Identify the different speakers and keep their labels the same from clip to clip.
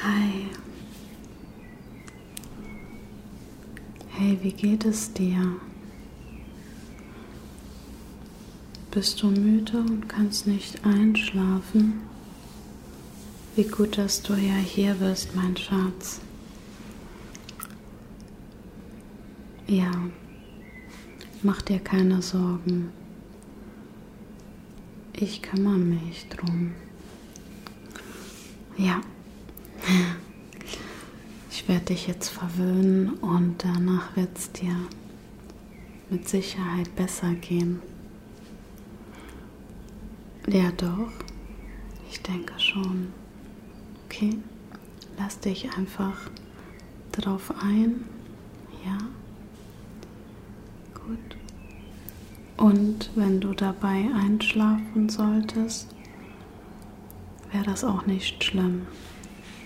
Speaker 1: Hi. Hey, wie geht es dir? Bist du müde und kannst nicht einschlafen? Wie gut, dass du ja hier bist, mein Schatz. Ja, mach dir keine Sorgen. Ich kümmere mich drum. Ja. Ich werde dich jetzt verwöhnen und danach wird es dir mit Sicherheit besser gehen. Ja, doch. Ich denke schon. Okay. Lass dich einfach drauf ein. Ja. Gut. Und wenn du dabei einschlafen solltest, wäre das auch nicht schlimm.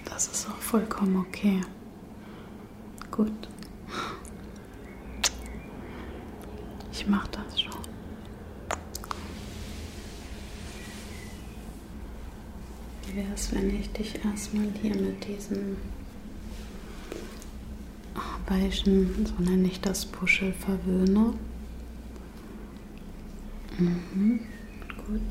Speaker 1: Das ist auch vollkommen okay. Gut. Ich mach das schon. Wie wäre es, wenn ich dich erstmal hier mit diesem Weichen, so nenne ich das Puschel, verwöhne. Mhm, gut.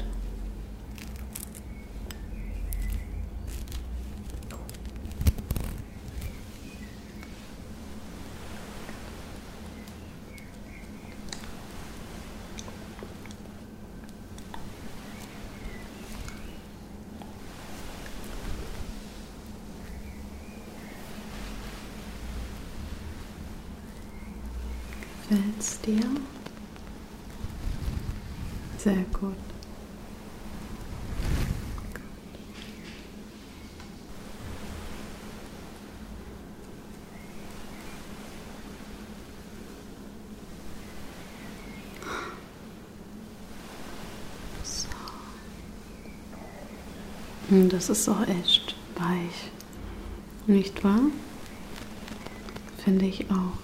Speaker 1: Gefällt's dir? Sehr gut. So. Hm, Und das ist auch echt weich. Nicht wahr? Finde ich auch.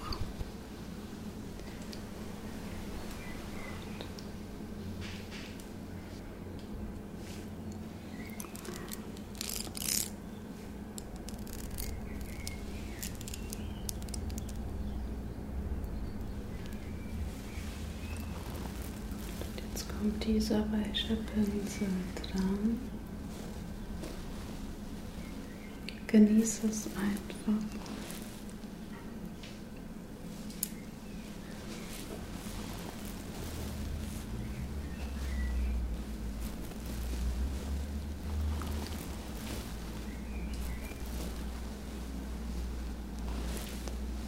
Speaker 1: Und jetzt kommt dieser weiche Pinsel dran. Genieße es einfach.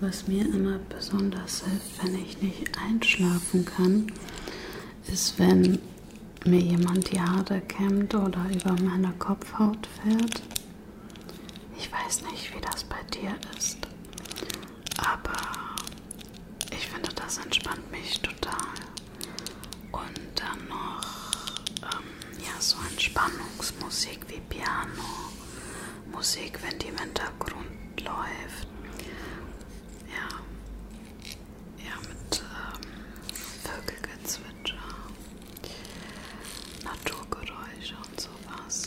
Speaker 1: Was mir immer besonders hilft, wenn ich nicht einschlafen kann, ist, wenn mir jemand die Haare kämmt oder über meine Kopfhaut fährt. Ich weiß nicht, wie das bei dir ist, aber ich finde, das entspannt mich total. Und dann noch ähm, ja, so Entspannungsmusik wie Piano Musik, wenn die im Hintergrund läuft. Ja, ja mit ähm, Vögelgezwitscher, Naturgeräusche und sowas.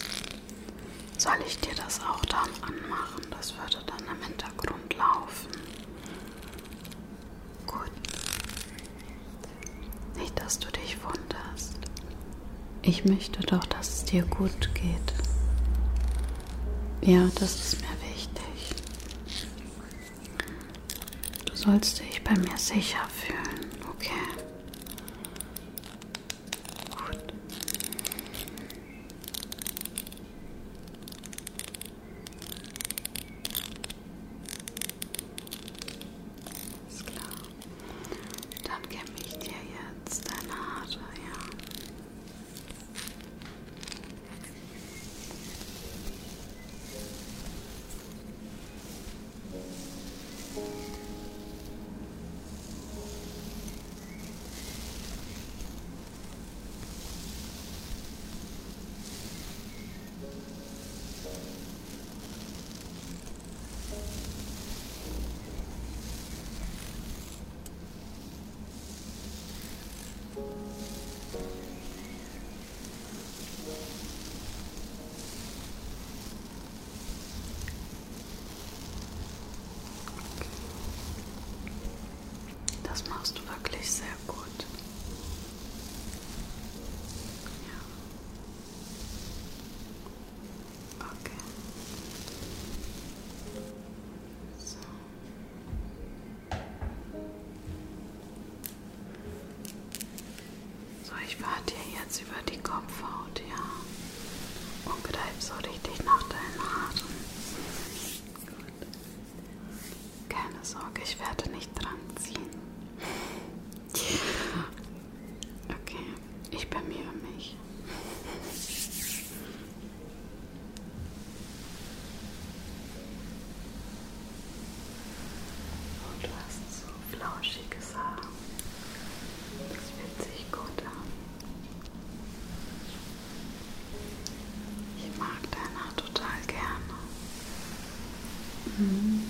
Speaker 1: Soll ich dir das auch dann anmachen? Das würde dann im Hintergrund laufen. Gut. Nicht, dass du dich wunderst. Ich möchte doch, dass es dir gut geht. Ja, das ist mir wichtig. Du sollst dich bei mir sicher fühlen, okay? Gut. Ist klar. Dann kämme ich dir jetzt deine Haare, ja. Das machst du wirklich sehr gut. Ja. Okay. So. So, ich warte hier jetzt über die Kopfhaut, ja. Und greif so richtig nach deinen Haaren. Gut. Keine Sorge, ich werde nicht dran ziehen. Okay, ich bemühe mich. Und du hast so flauschiges Haar. Das fühlt sich gut an. Ich mag dein Haar total gerne. Mhm.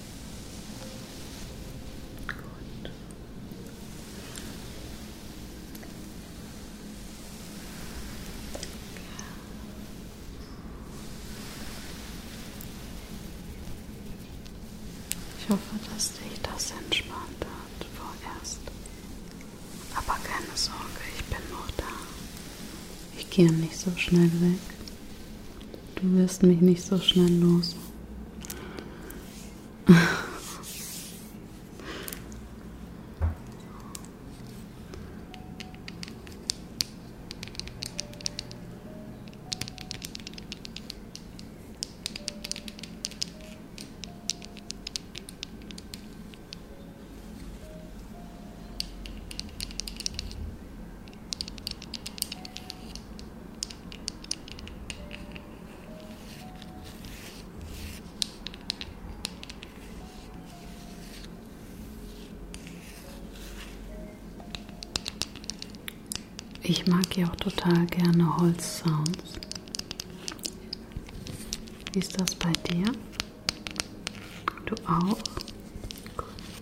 Speaker 1: Gut. Ich hoffe, dass dich das entspannt hat vorerst. Aber keine Sorge, ich bin noch da. Ich gehe nicht so schnell weg. Du wirst mich nicht so schnell los. Ich mag ja auch total gerne Holzsounds. Wie ist das bei dir? Du auch? Gut.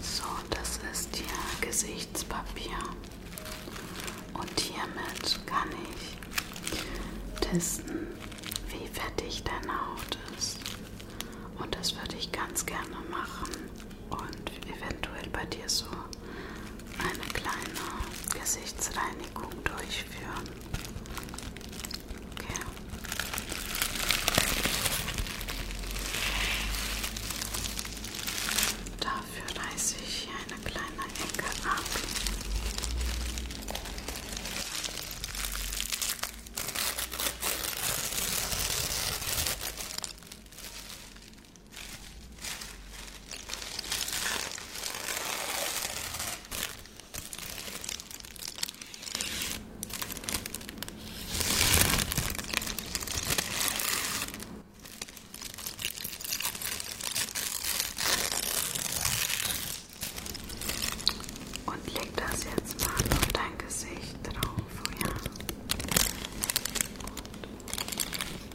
Speaker 1: So, das ist hier Gesichtspapier. Und hiermit kann ich testen, wie fettig deine Haut ist. Und das würde ich ganz gerne machen und eventuell bei dir so eine kleine Gesichtsreinigung durchführen. Okay. Dafür reiße ich hier eine kleine Ecke ab. Und leg das jetzt mal auf dein Gesicht drauf, ja? Gut.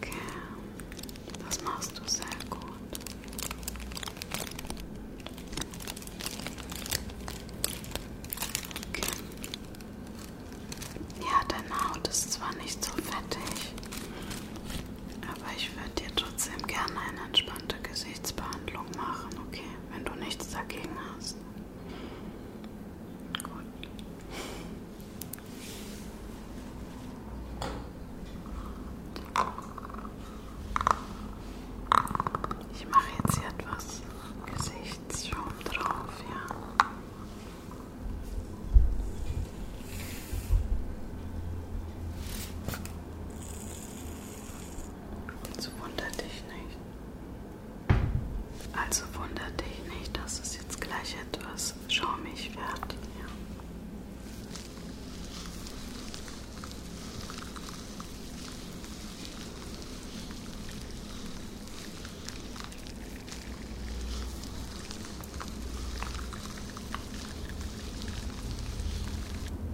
Speaker 1: Okay, das machst du sehr gut. Okay. Ja, deine Haut ist zwar nicht so fettig, aber ich ich würde dir trotzdem gerne eine entspannte Gesichtsbehandlung machen, okay? Wenn du nichts dagegen hast. Gut. Ich mache jetzt hier etwas Gesichtsschaum drauf, ja. Und wunder dich nicht. Also wunder dich nicht, dass es jetzt gleich etwas schaumig wird. Ja.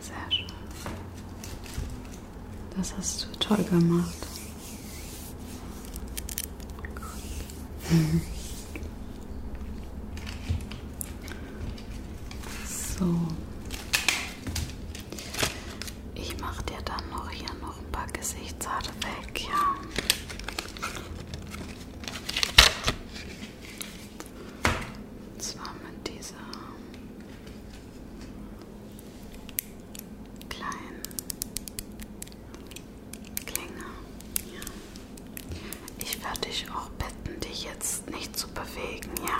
Speaker 1: Sehr schön. Das hast du toll gemacht. Gut. So. Ich mache dir dann noch hier noch ein paar Gesichtshaare weg, ja. Und zwar mit dieser kleinen Klinge. Ja. Ich werde dich auch bitten, dich jetzt nicht zu bewegen, ja?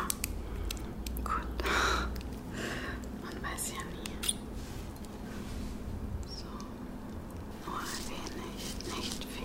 Speaker 1: Gut. Man weiß ja nie. So, nur ein wenig, nicht viel.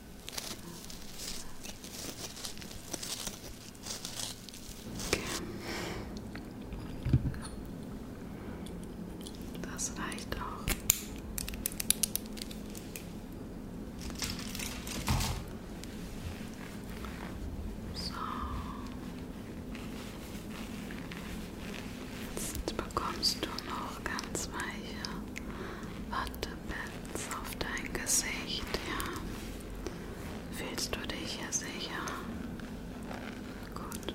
Speaker 1: Das reicht auch. So. Jetzt bekommst du noch ganz weiche Watte. Pins auf dein Gesicht, ja. Fühlst du dich hier sicher? Gut.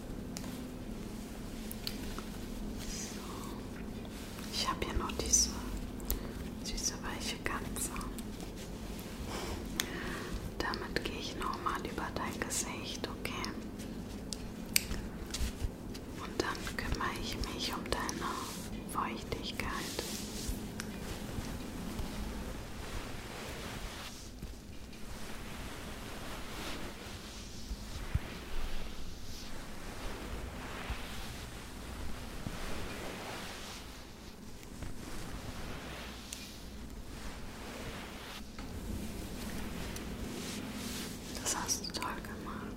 Speaker 1: So. Ich habe hier noch diese süße weiche Katze. Damit gehe ich nochmal über dein Gesicht, okay? Und dann kümmere ich mich um deine Feuchtigkeit. So. Das hast du toll gemacht.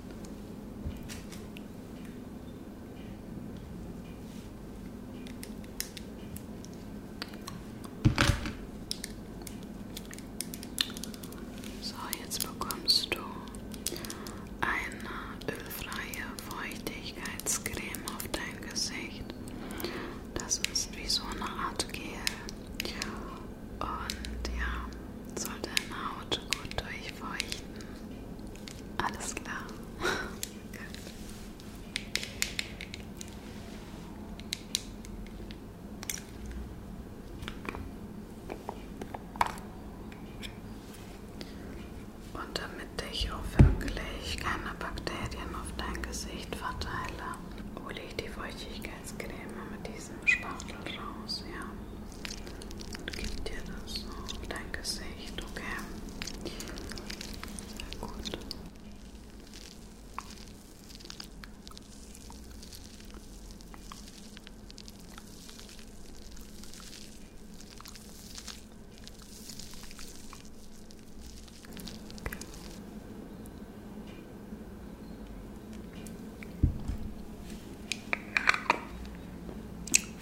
Speaker 1: So, jetzt bekommst du eine ölfreie Feuchtigkeitscreme auf dein Gesicht. Das ist wie so eine Art Gel. Und ja, soll deine Haut gut durchfeuchten. Alles klar. gut. Und damit ich auch wirklich keine Bakterien auf dein Gesicht verteile, hole ich die Feuchtigkeitscreme mit diesem Spachtel raus, ja. Und gib dir das so auf dein Gesicht, okay? Sehr gut.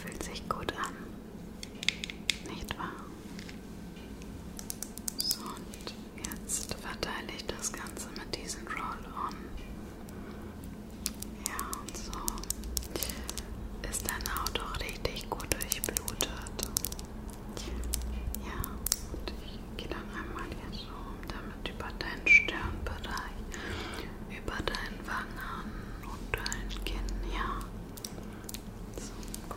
Speaker 1: Fühlt sich gut an, nicht wahr? So, und jetzt verteile ich das Ganze mit diesen Roll-On. Ja, und so ist deine Haut auch richtig gut durchblutet. Ja, und ich gehe dann einmal hier so damit über deinen Stirnbereich, über deinen Wangen und dein Kinn, ja. So, gut. Ja,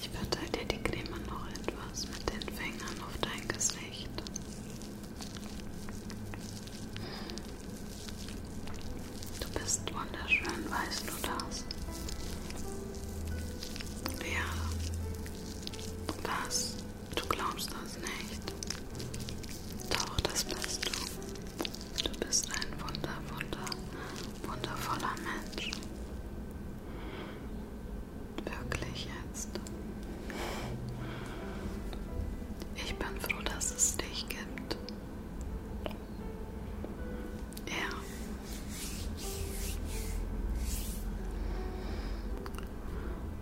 Speaker 1: Ich verteile dir die Creme noch etwas mit den Fingern auf dein Gesicht. Hm. Du bist wunderschön, weißt du das? Ja. Was? Du glaubst das nicht? Doch, das bist du. Du bist ein wunder, wunder, wundervoller Mensch. Wirklich jetzt. Ich bin froh, dass es dich gibt. Ja.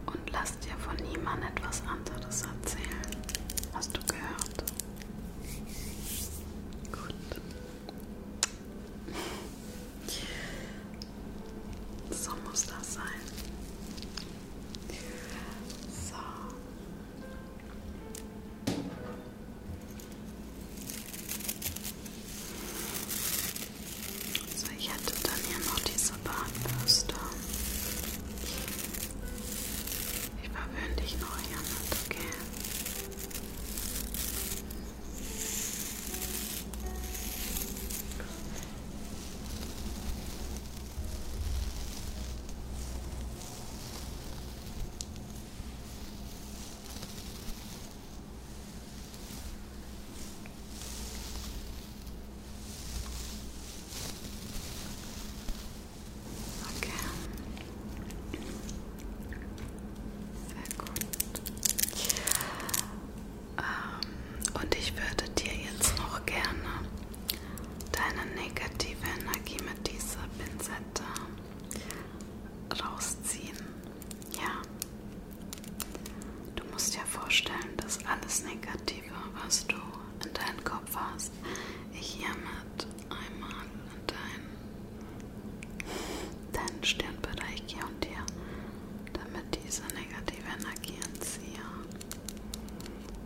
Speaker 1: Und lass dir von niemandem etwas anderes erzählen. Hast du gehört? Gut. So muss das sein. So. So, ich hätte dann hier noch diese Bahnbürste. Ich verwöhne dich noch hier mit, okay? Okay. Sehr gut. Ähm, und ich würde dir jetzt noch gerne deine negative Energie mit dieser Pinsel Facette rausziehen. Ja, du musst dir vorstellen, dass alles Negative, was du in deinem Kopf hast, ich hiermit einmal in deinen, deinen Stirnbereich gehe und dir damit diese negative Energie entziehe.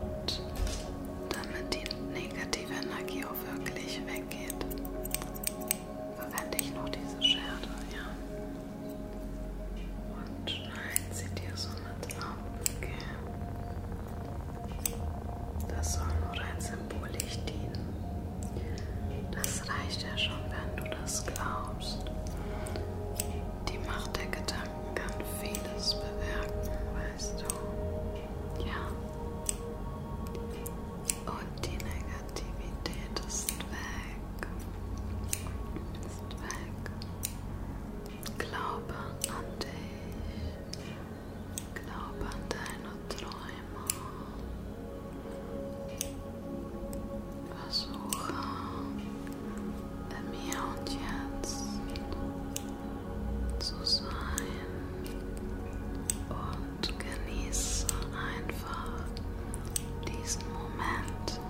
Speaker 1: Und damit die negative Energie auch wirklich weggeht, verwende ich noch diese Schere, ja. Und schneid sie dir somit ab, okay? Das soll nur rein symbolisch dienen. Das reicht ja schon, wenn du das glaubst. Die Macht der Gedanken kann vieles bewirken, weißt du. Ja. Und die Negativität ist weg. Ist weg. Glaube an dich. Glaube an deine Träume einmal versuche im Hier und Jetzt zu sein und genieße einfach diesen Moment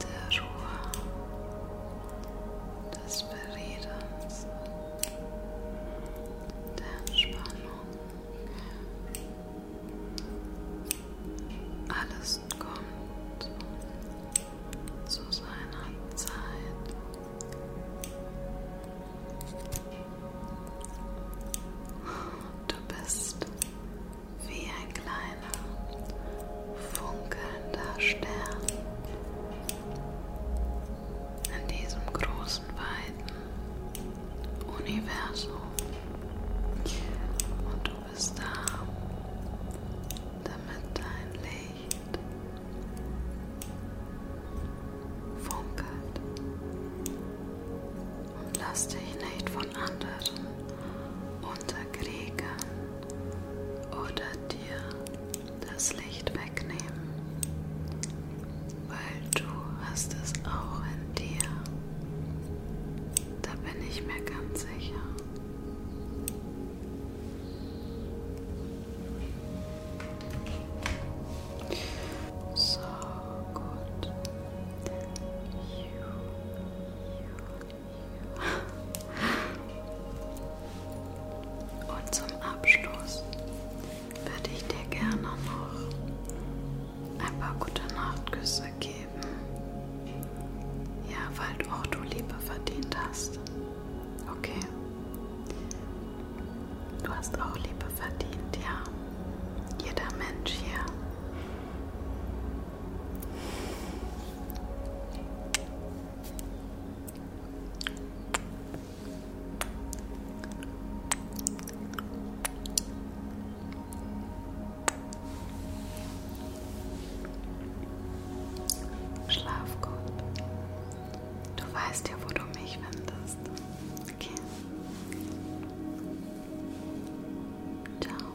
Speaker 1: der Ruhe, des Beriedens der Entspannung. Alles kommt zu seiner Zeit. Du bist wie ein kleiner, funkelnder Stern in diesem großen großen, weiten Universum. Und du bist da, damit dein Licht funkelt. Und lass dich nicht von anderen unterkriegen oder dir das Licht wegnehmen, weil du hast es auch in dir. Da bin ich mir ganz sicher. So gut. You, you, you. Und zum Abschluss würde ich dir gerne noch ein paar gute Nachtküsse geben. Ja, weil auch du Liebe verdient hast. Okay. Du hast auch Liebe verdient, ja. Jeder Mensch hier. Schlaf gut. Du weißt ja, wo du mich findest. Okay. Ciao.